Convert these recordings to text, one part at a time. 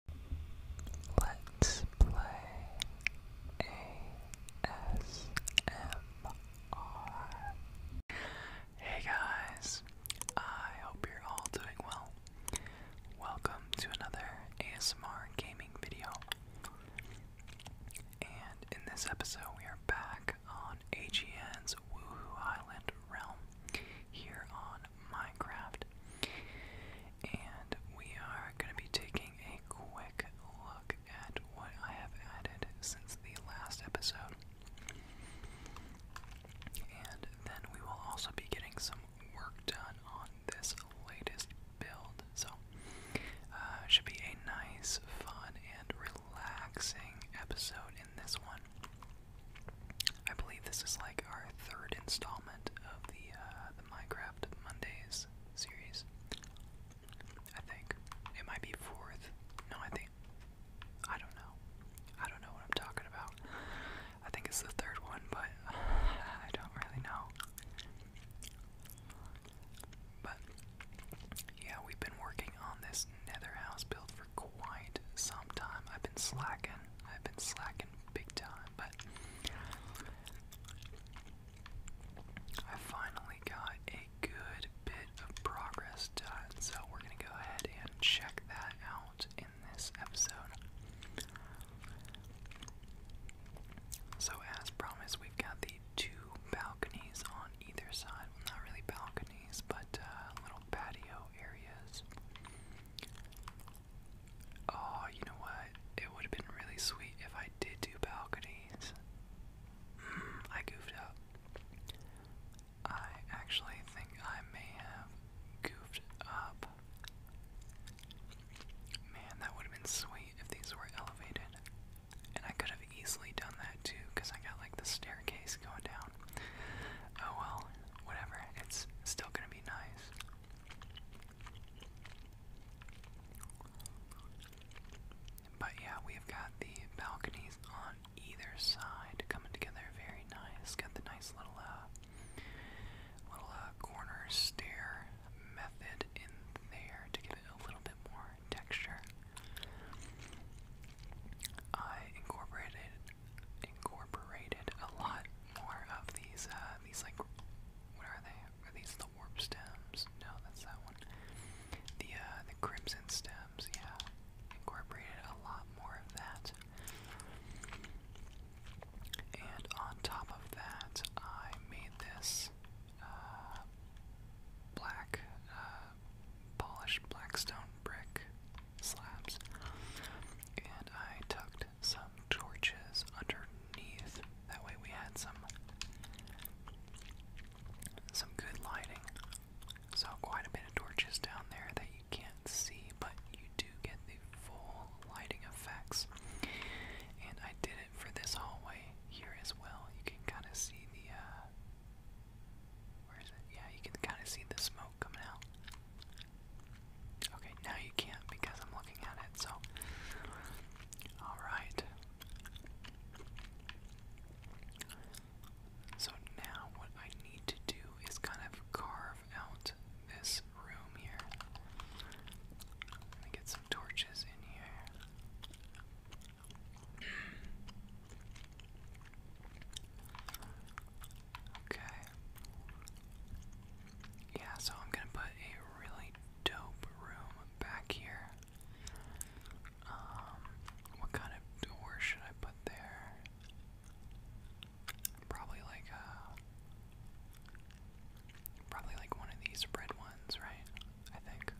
Hey guys, I hope you're all doing well. Welcome to another ASMR gaming video. And in this episode, we are back on AGN's Woohoo Island realm here on Minecraft. And we are going to be taking a quick look at what I have added since the last episode. And then we will also be getting some work done on this latest build. So, uh, should be a nice, fun, and relaxing episode in this one. I believe this is like our third installment of the uh, the Minecraft Mondays series. I think it might be fourth. No, I think I don't know. I don't know what I'm talking about. I think it's the third one, but I don't really know. But yeah, we've been working on this Nether house build for quite some time. I've been slacking. I've been slacking big time, but I finally got a good bit of progress done, so we're gonna go ahead and check that out in this episode. So, as promised, we've got the two balconies on either side. not really balconies, but uh, little patio areas. Oh, you know what? It would have been really sweet if I did do balconies. Hmm, I goofed up. I actually think I may have goofed up. Man, that would have been sweet if these were elevated. And I could have easily done that too, because I got like the staircase going down. Oh well, whatever. It's still gonna be nice. But yeah, we've got the balconies on either side coming together very nice. Got the nice little uh, little uh, corner stair method in there to give it a little bit more texture. I incorporated incorporated a lot more of these uh these like what are they? Are these the warp stems? No, that's that one. The uh the crimson stems, yeah. Incorporated a lot more of that. And on top of that, I made this uh, black uh, polished stone brick slabs, and I tucked some torches underneath. That way we had some some good lighting. So quite a bit of torches down there that you can't see, but you do get the full lighting effects. And I did it for this hallway here as well. You can kind of see the uh, where is it? Yeah, you can kind of see the smoke coming out. Okay, now you can't because I'm looking at it, so. Alright. So now what I need to do is kind of carve out this room here. Let me get some torches in here. okay. Yeah, so I'm gonna put a really dope room back here. Um, what kind of door should I put there? Probably like a, uh, probably like one of these red ones, right? I think.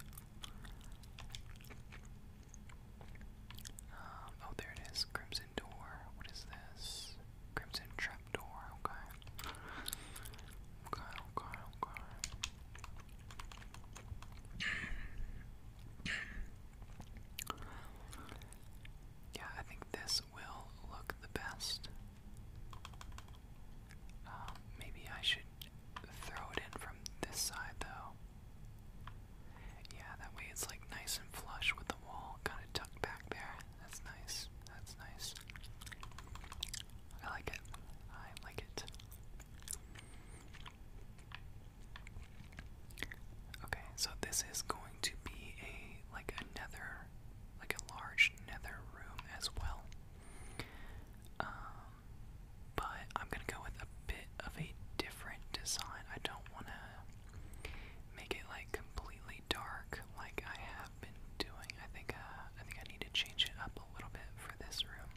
Um, oh, there it is, Crimson Crimson Door. What is this? Crimson Trapdoor. Okay. Okay, okay, okay. Yeah, I think this will look the best. Um, maybe I should throw it in from this side, though. Yeah, that way it's like nice and flush with wall kind of tucked back there. That's nice. That's nice. I like it. I like it. Okay, so this is going to be a like another like a large nether room as well. Um, but I'm gonna go with a bit of a different design. I don't wanna make it like completely dark like I have been doing. I think uh, I think I need to change it up a little bit for this room.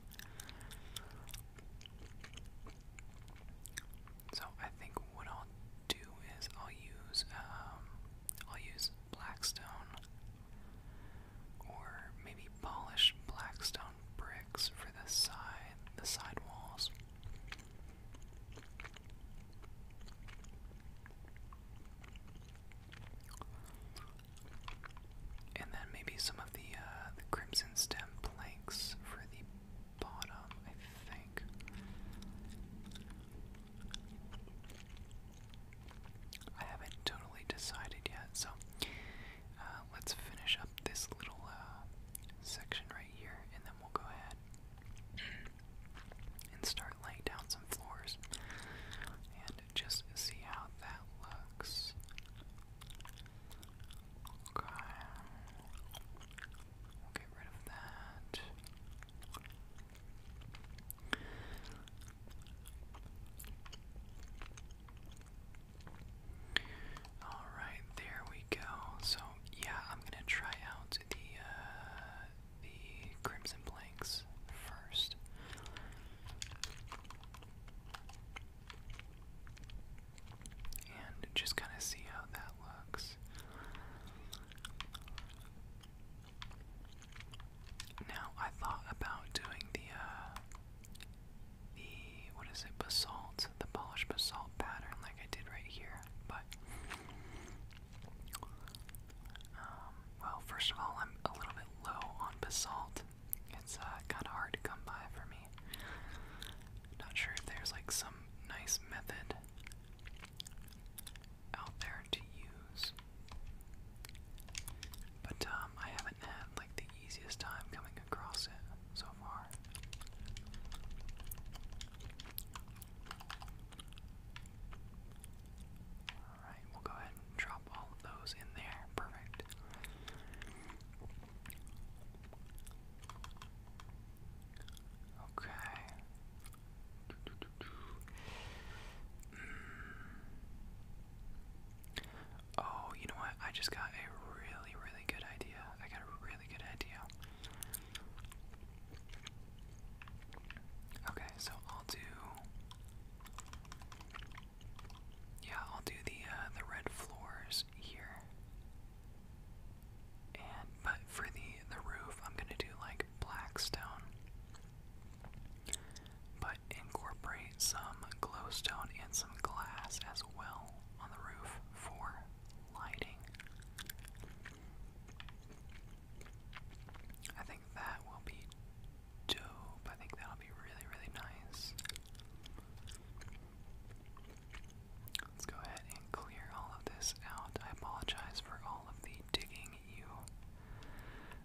So I think what I'll do is I'll use um, I'll use blackstone or maybe polish blackstone bricks for the side the side walls. And then maybe some of uh, the crimson stem planks for the bottom, I think. I haven't totally decided yet, so uh, let's finish up this little uh, section right here, and then we'll go ahead and start laying down some floors and just see how that looks. Okay. We'll get rid of that. Alright, there we go. So, yeah, I'm gonna try out the uh, the Crimson Blanks first. And just kind of see how that looks. Now I thought about doing the uh, the what is it basalt the polished basalt pattern like I did right here, but um, well, first of all, I'm a little bit low on basalt. It's uh, kind of hard to come by for me. Not sure if there's like some nice method out there to use. But um, I haven't had like the easiest time coming across it so far. Alright, we'll go ahead and drop all of those in there. Perfect. Okay. Mm. Oh, you know what? I just got a really, really good idea. I got a really good idea. Okay, so I'll do. Yeah, I'll do the uh, the red floors here. And but for the the roof, I'm gonna do like black stone, but incorporate some glowstone and some glass as well on the roof for lighting. I think that will be dope. I think that'll be really, really nice. Let's go ahead and clear all of this out. I apologize for all of the digging you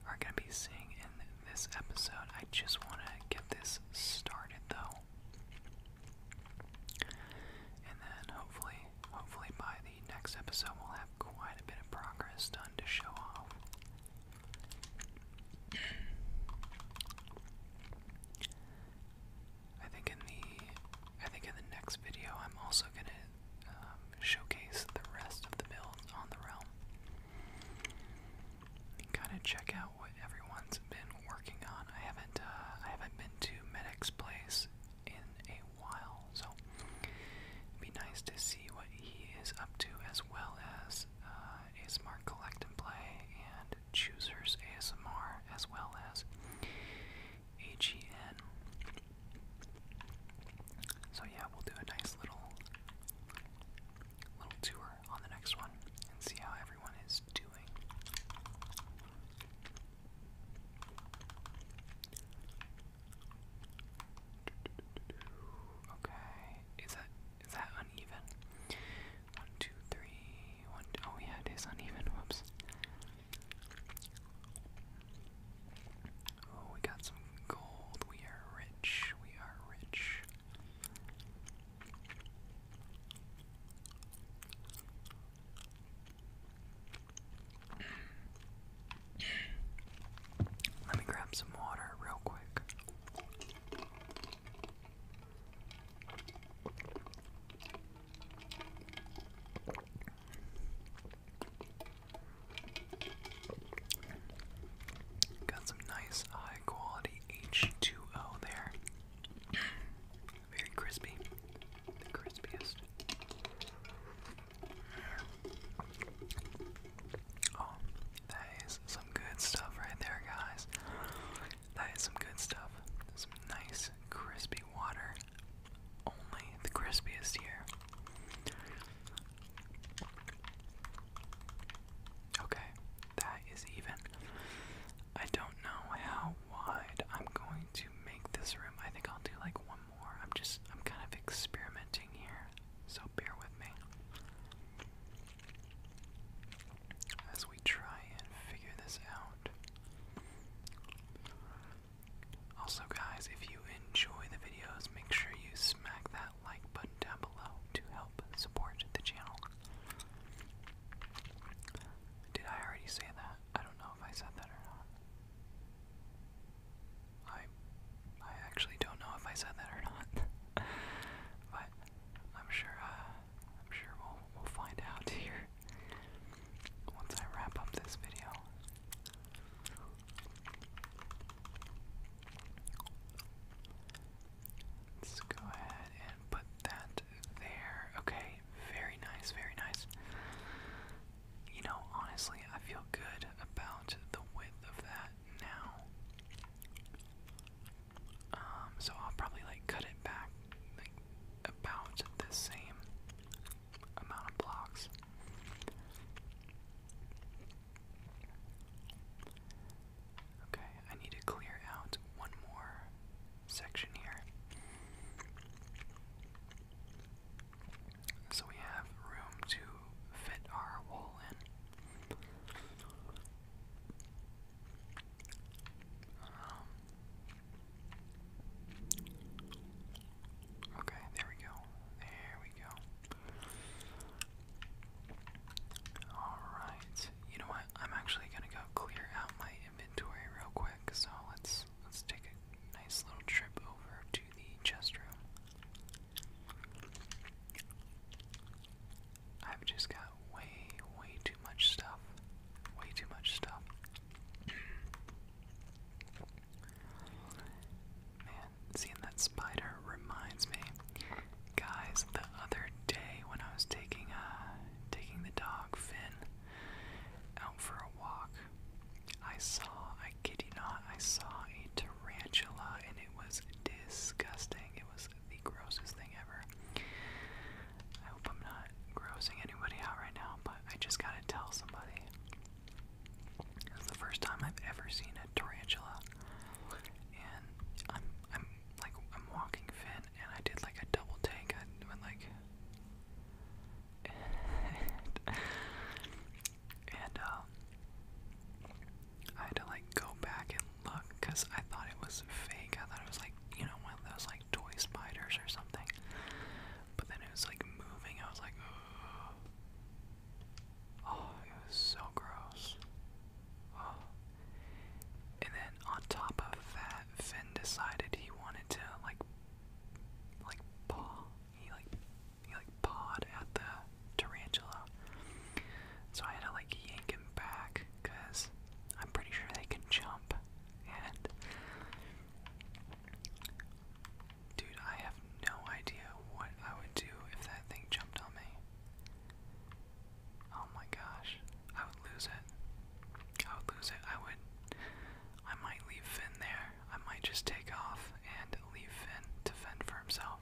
are going to be seeing in this episode. I just want to get this started though. And then hopefully hopefully by the next episode we'll have quite a bit of progress done to show off. I think in the I think in the next video I'm also gonna um, showcase the rest of the builds on the realm. Kind of check out what everyone's been working on. I haven't uh, I haven't been to Medic's place in a while. So be nice to see what he is up to, as well as uh, ASMR Collect and Play and Choosers ASMR, as well as AGN. So yeah, we'll do a nice little little tour on the next one and see how everyone is doing. Okay, is that is that uneven? One, two, three, one. Two, oh yeah, it is uneven. Whoops. Oh, we got some gold. We are rich. We are rich. Let me grab some water real quick. Got some nice high quality H2O there. Very crispy the crispiest. Oh, that is some good stuff right there, guys. That is some good stuff. Some nice, crispy water. Only the crispiest here. Okay, that is even. I don't know how wide I'm going to make this room. I think I'll do like one I'm just, I'm kind of experimenting here, so bear with me as we try and figure this out. Also, guys, if you enjoy the videos, make sure you smack that like button down below to help support the channel. Did I already say that? I don't know if I said that or not. I I actually don't know if I said that or not, but I'm sure uh, I'm sure we'll we'll find out here once I wrap up this video. Let's go ahead and put that there. Okay, very nice, very nice you know, honestly, I feel good about the width of that now. Um, so I'll probably like cut it back like about the same amount of blocks. Okay, I need to clear out one more section here. So we have room to fit our wool in. Um, okay, there we go. There we go. Alright. You know what? I'm actually gonna go clear out my inventory real quick, so let's let's take a nice little trip over the chest room. I've just got way, way too much stuff. Way too much stuff. Man, seeing that spider reminds me. Guys, the other day when I was taking uh taking the dog Finn out for a walk, I saw, I kid you I saw a tarantula and it was disgusting. It was the grossest thing ever. I hope I'm not grossing anybody out right now, but I just gotta tell somebody. This is the first time I've ever seen a tarantula. And I'm I'm like I'm walking Finn and I did like a double take. I went like and, um, I had to like go back and look because I thought it was fake. I thought it was like you know one of those like toy spiders or something. But then it was like moving. I was like, oh, it was so gross. And then on top of that, Finn decided he wanted to like, like paw he like he like pawed at the tarantula. So I had to like yank him back because I'm pretty sure they can jump. And dude, I have no idea what I would do if that thing jumped on me. Oh my gosh. I would lose it. I would lose it. I would I might leave Finn there. I might just take off and leave Finn to fend for himself.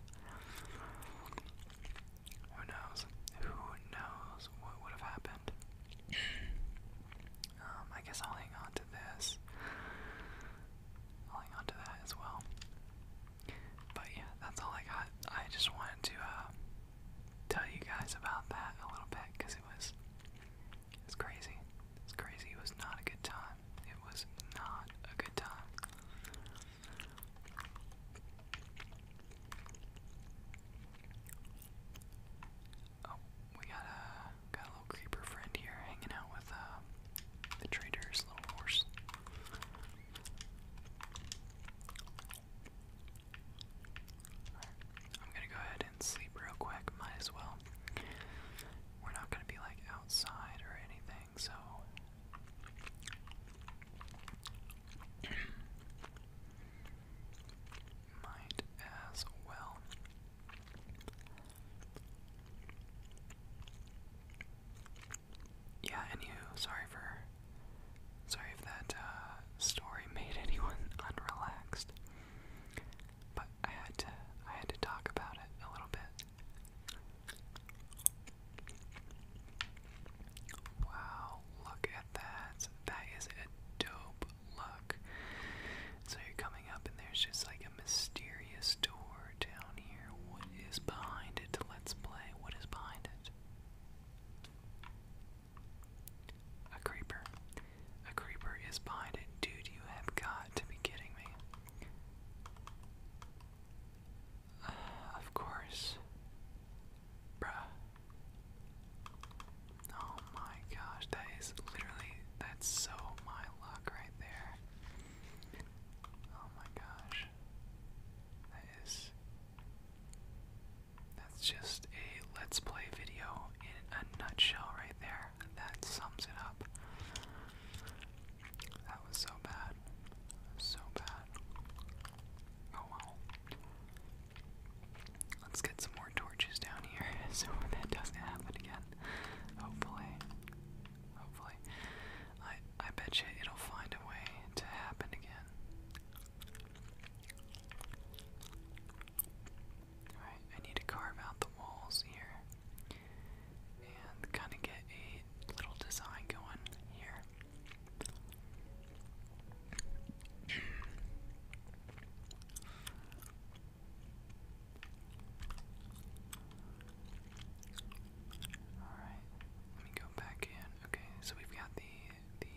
Who knows? Who knows what would have happened? Um, I guess I'll hang on to this. hang on to that as well. But yeah, that's all I got. I just wanted to uh, tell you guys about that a little bit because it was it's crazy. It's crazy. It was not a good time. It was not a good time. Oh, we got a got a little creeper friend here hanging out with uh, the trader's little horse. i right, I'm gonna go ahead and sleep real quick. Might as well we're not going to be like outside or anything, so might as well. Yeah, anywho, sorry for sorry if that uh, story made anyone unrelaxed but I had to I had to talk about it a little bit. Wow, look at that. That is a dope look. So you're coming up and there's just like a mysterious door down here. What is behind it? Let's play. What is behind it? A creeper. A creeper is behind it. Dude, you have got to be kidding me. of course. Bruh. Oh my gosh, that is literally, that's so my luck right there. Oh my gosh. That is. That's just a let's play video in a nutshell right there. That sums it up. That was so bad. So bad. Oh well. Let's get some more torches down here so that doesn't happen again. Hopefully. Hopefully. I I bet you it'll find a way to happen again. Alright, I need to carve out the walls here and kind of get a little design going here. Alright, let me go back in. Okay, so we've got the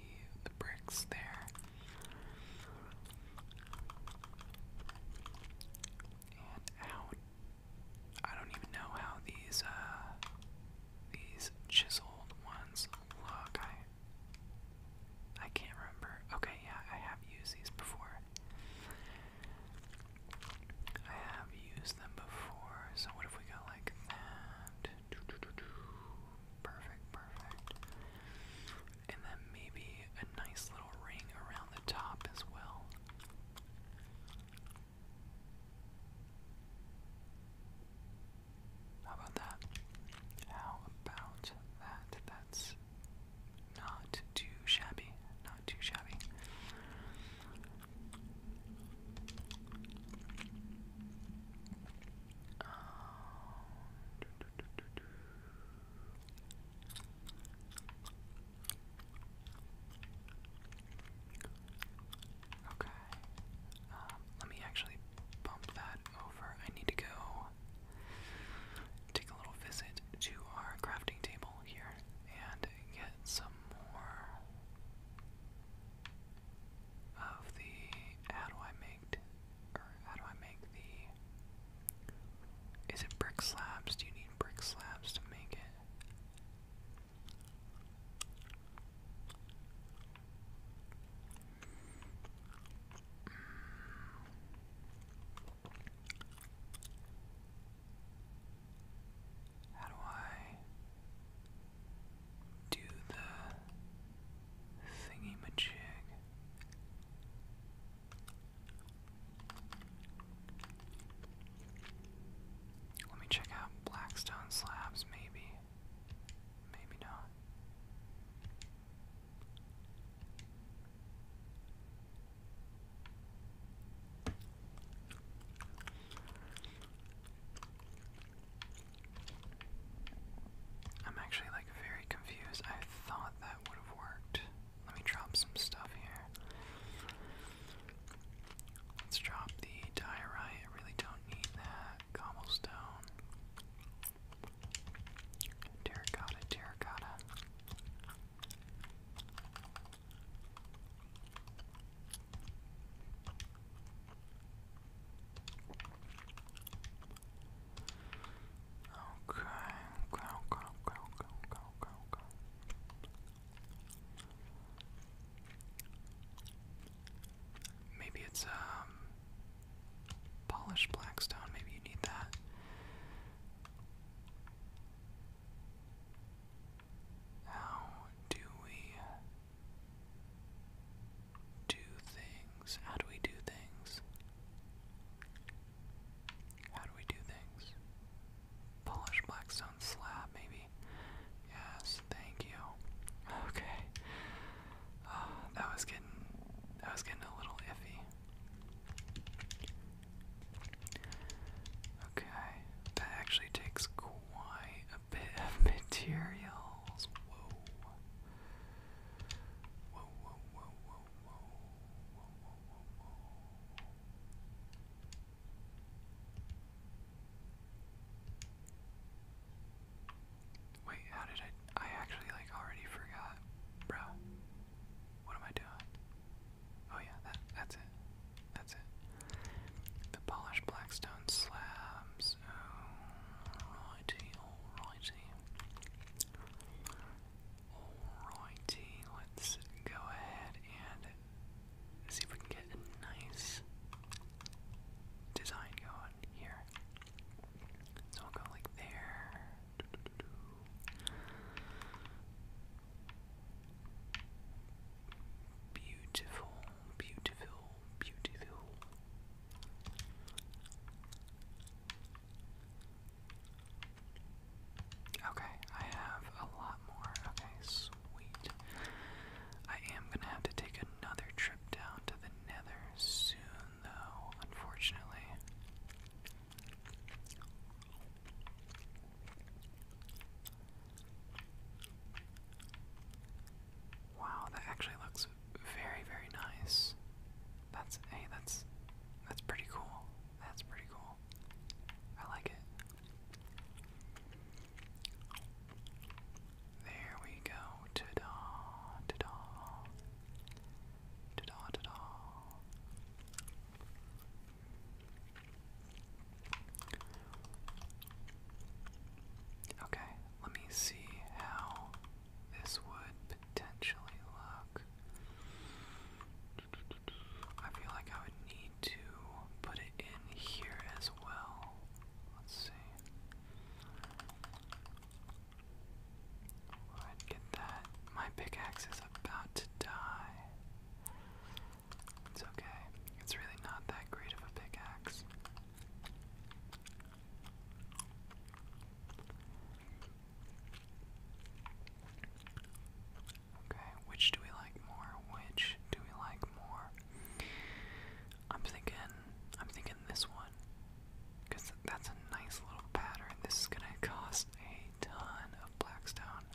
the bricks there and out. I don't even know how these uh these chiseled ones look. I I can't remember. Okay, yeah, I have used these before. I have used them before. So what if we go like that? Perfect, perfect and then maybe a nice little ring around the top as well. How about that? How about that? That's not too shabby. Not too shabby. Um, Okay. Um, let me actually bump that over. I need to go take a little visit to our crafting table here and get some more of the. How do I make? Or how do I make the is it brick slabs? Do you need brick slabs to make it? How do I do the thingy majig? Let me check out Blackstone Slabs, maybe. Maybe not. I'm actually like very confused. I thought that would have worked. Let me drop some stuff here. Let's drop the diorite. really don't need that. Cobblestone. Terracotta, terracotta. Okay, okay, okay, okay, okay, okay, okay, Maybe it's um polished blackstone, maybe you need that. How do we do things? How do we do things? How do we do things? Polish blackstone slab, maybe. Yes, thank you. Okay. Ah, that was getting that was getting a little iffy. Okay, that actually takes quite a bit of materials. Whoa, whoa, whoa, whoa, whoa, whoa, whoa, Wait, how did I? I actually like already forgot, bro. What am I doing? Oh yeah, that that's it. That's it. The polished blackstone slabs. Oh, alrighty, alrighty. Alrighty, let's go ahead and see if we can get a nice design going here. So I'll go like there. Beautiful, beautiful, beautiful. Okay, I have a lot more. Okay, sweet. I am gonna have to take another trip down to the nether soon, though, unfortunately. Wow, that actually looks very, very nice. That's hey, that's that's pretty cool. That's pretty cool. I like it. There we go. Ta da! Ta da! Okay, let me see how this would potentially look. I feel like I would need to put it in here as well. Let's see. I'd get that. My pickaxe is about to die. It's okay. It's really not that great of a pickaxe. Okay, which do we like more? Which do we like more? I'm thinking I'm thinking this one. Because that's a nice little pattern. This is gonna cost a ton of blackstone.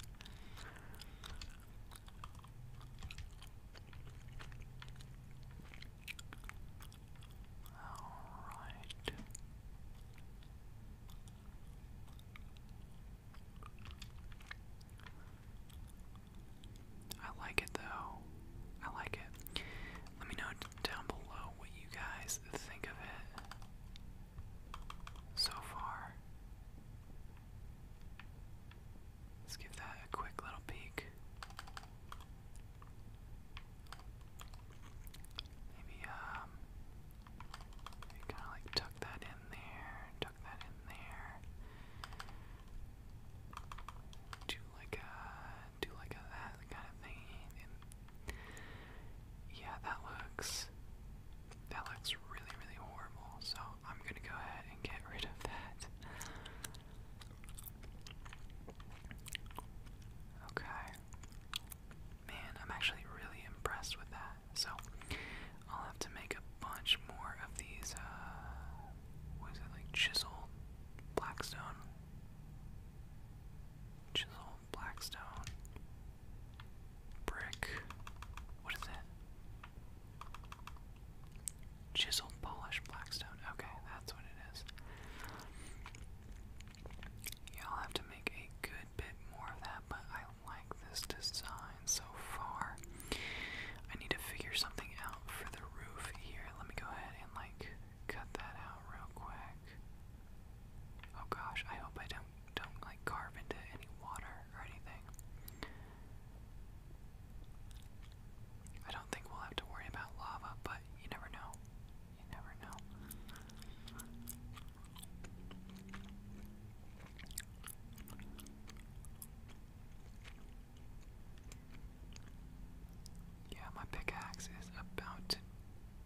Alright. I like it though. I like it. Let me know down below what you guys think of it so far. Let's give that a quick little peek. Maybe um Kind of like tuck that in there, tuck that in there. Do like a, do like a that kind of thing. yeah, that looks, that looks really, really horrible. So I'm gonna go ahead and get rid of that. Okay man, I'm actually really impressed with that. So I'll have to make a bunch more of these. Uh, what is it like chiseled blackstone? Chiseled blackstone brick. What is it? Chiseled polished blackstone. Okay, that's what it is. Yeah, I'll have to make a good bit more of that, but I like this design so far. I need to figure something out for the roof here. Let me go ahead and like cut that out real quick. Oh gosh, I hope I don't don't like carve into any water or anything. I don't think we'll have to worry about lava, but you never know. You Yeah, my pickaxe is about to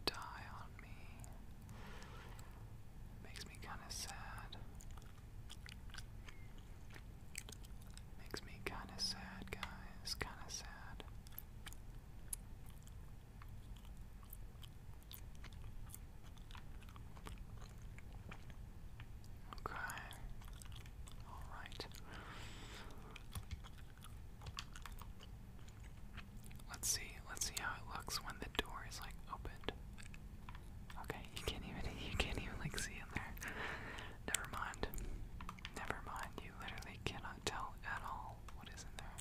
die on me. Makes me kind of sad. Makes me kind of sad, guys. Kind of sad. Okay. All right. Let's see. Let's see how it looks when the door is like opened. Okay, you can't even you can't even like see in there. Never mind. Never mind. You literally cannot tell at all what is in there.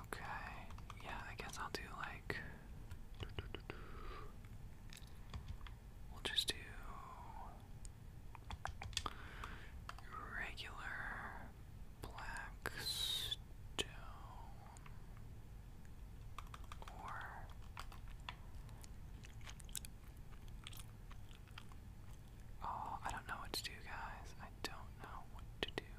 Okay, yeah, I guess I'll do like. We'll just do regular black stone or Oh, I don't know what to do, guys. I don't know what to do.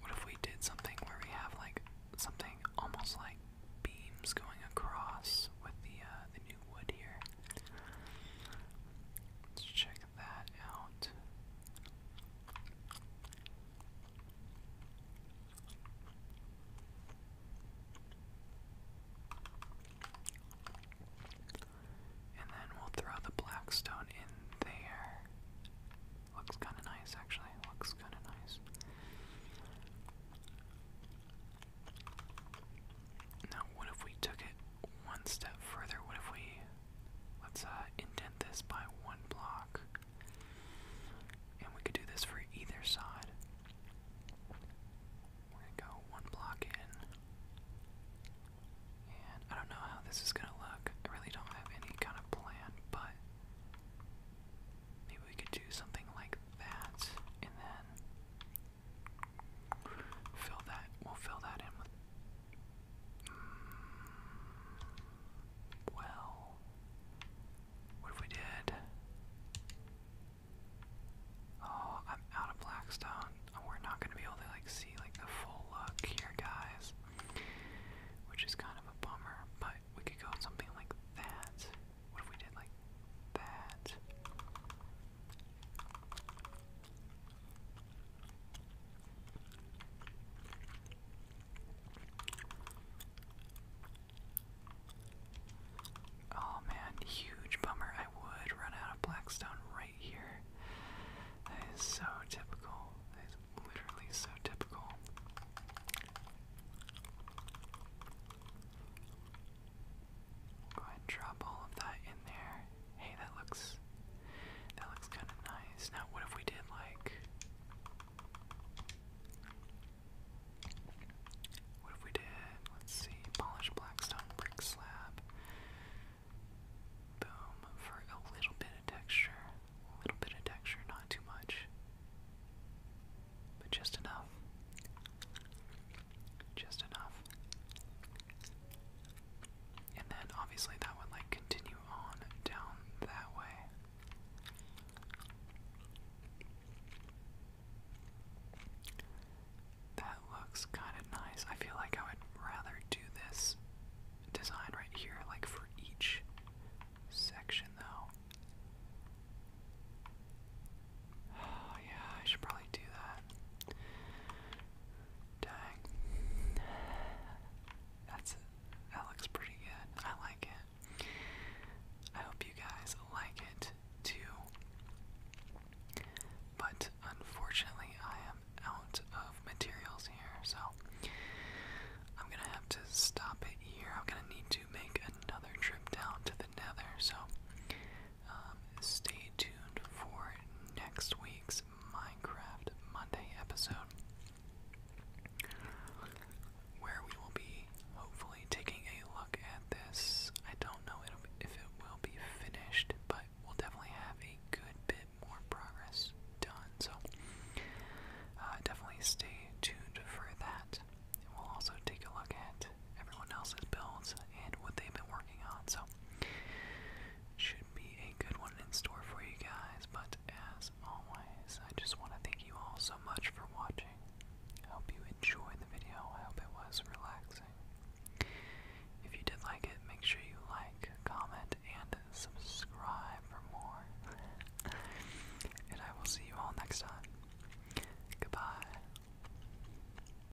What if we did something where we have like something almost like beams going across with the uh, the new wood here? Let's check that out. And then we'll throw the blackstone in there. Looks kind of nice, actually. Looks kind of nice. Now, what if we took it one step further? What if we let's uh, indent this by one block, and we could do this for either side. We're gonna go one block in, and I don't know how this is gonna look. I really don't have any kind of plan, but maybe we could do something like that, and then Fill that. We'll fill that in mm, well, what if we did? Oh, I'm out of Blackstone. Oh, we're not gonna be able to like see like the full look here, guys. Which is kind of a bummer. But we could go with something like that. What if we did like that? Oh man, huge bummer. I would run out of Blackstone right here. That is so typical. That is literally so typical. Go ahead and drop all of that in there. Hey, that looks that looks kind of nice. Now, what if we did like what if we did? Let's see, polished blackstone brick slab. Boom for a little bit of texture, little bit of texture, not too much, but just enough. Just enough. And then obviously that would like continue on down that way. That looks kind of nice. I feel like I would rather do this design right here, like for each section, though. Oh, yeah, I should probably do that. Dang. That's That looks pretty good. I like it. I hope you guys like it too. But unfortunately, I am out of materials here, so I'm gonna have to stop it here. I'm gonna need to make another trip down to the nether, so um, stay tuned for next week's Minecraft Monday episode, where we will be hopefully taking a look at this. I don't know if it will be finished, but we'll definitely have a good bit more progress done. So, uh, definitely stay tuned for that. And we'll also take a look at everyone else's builds and what they've been working on. So, should be a good one in store for you guys. But as always, I just want to thank you all so much for watching. I hope you enjoyed the video. I hope it was relaxing. If you did like it, make sure you like, comment, and subscribe for more. and I will see you all next time. Goodbye.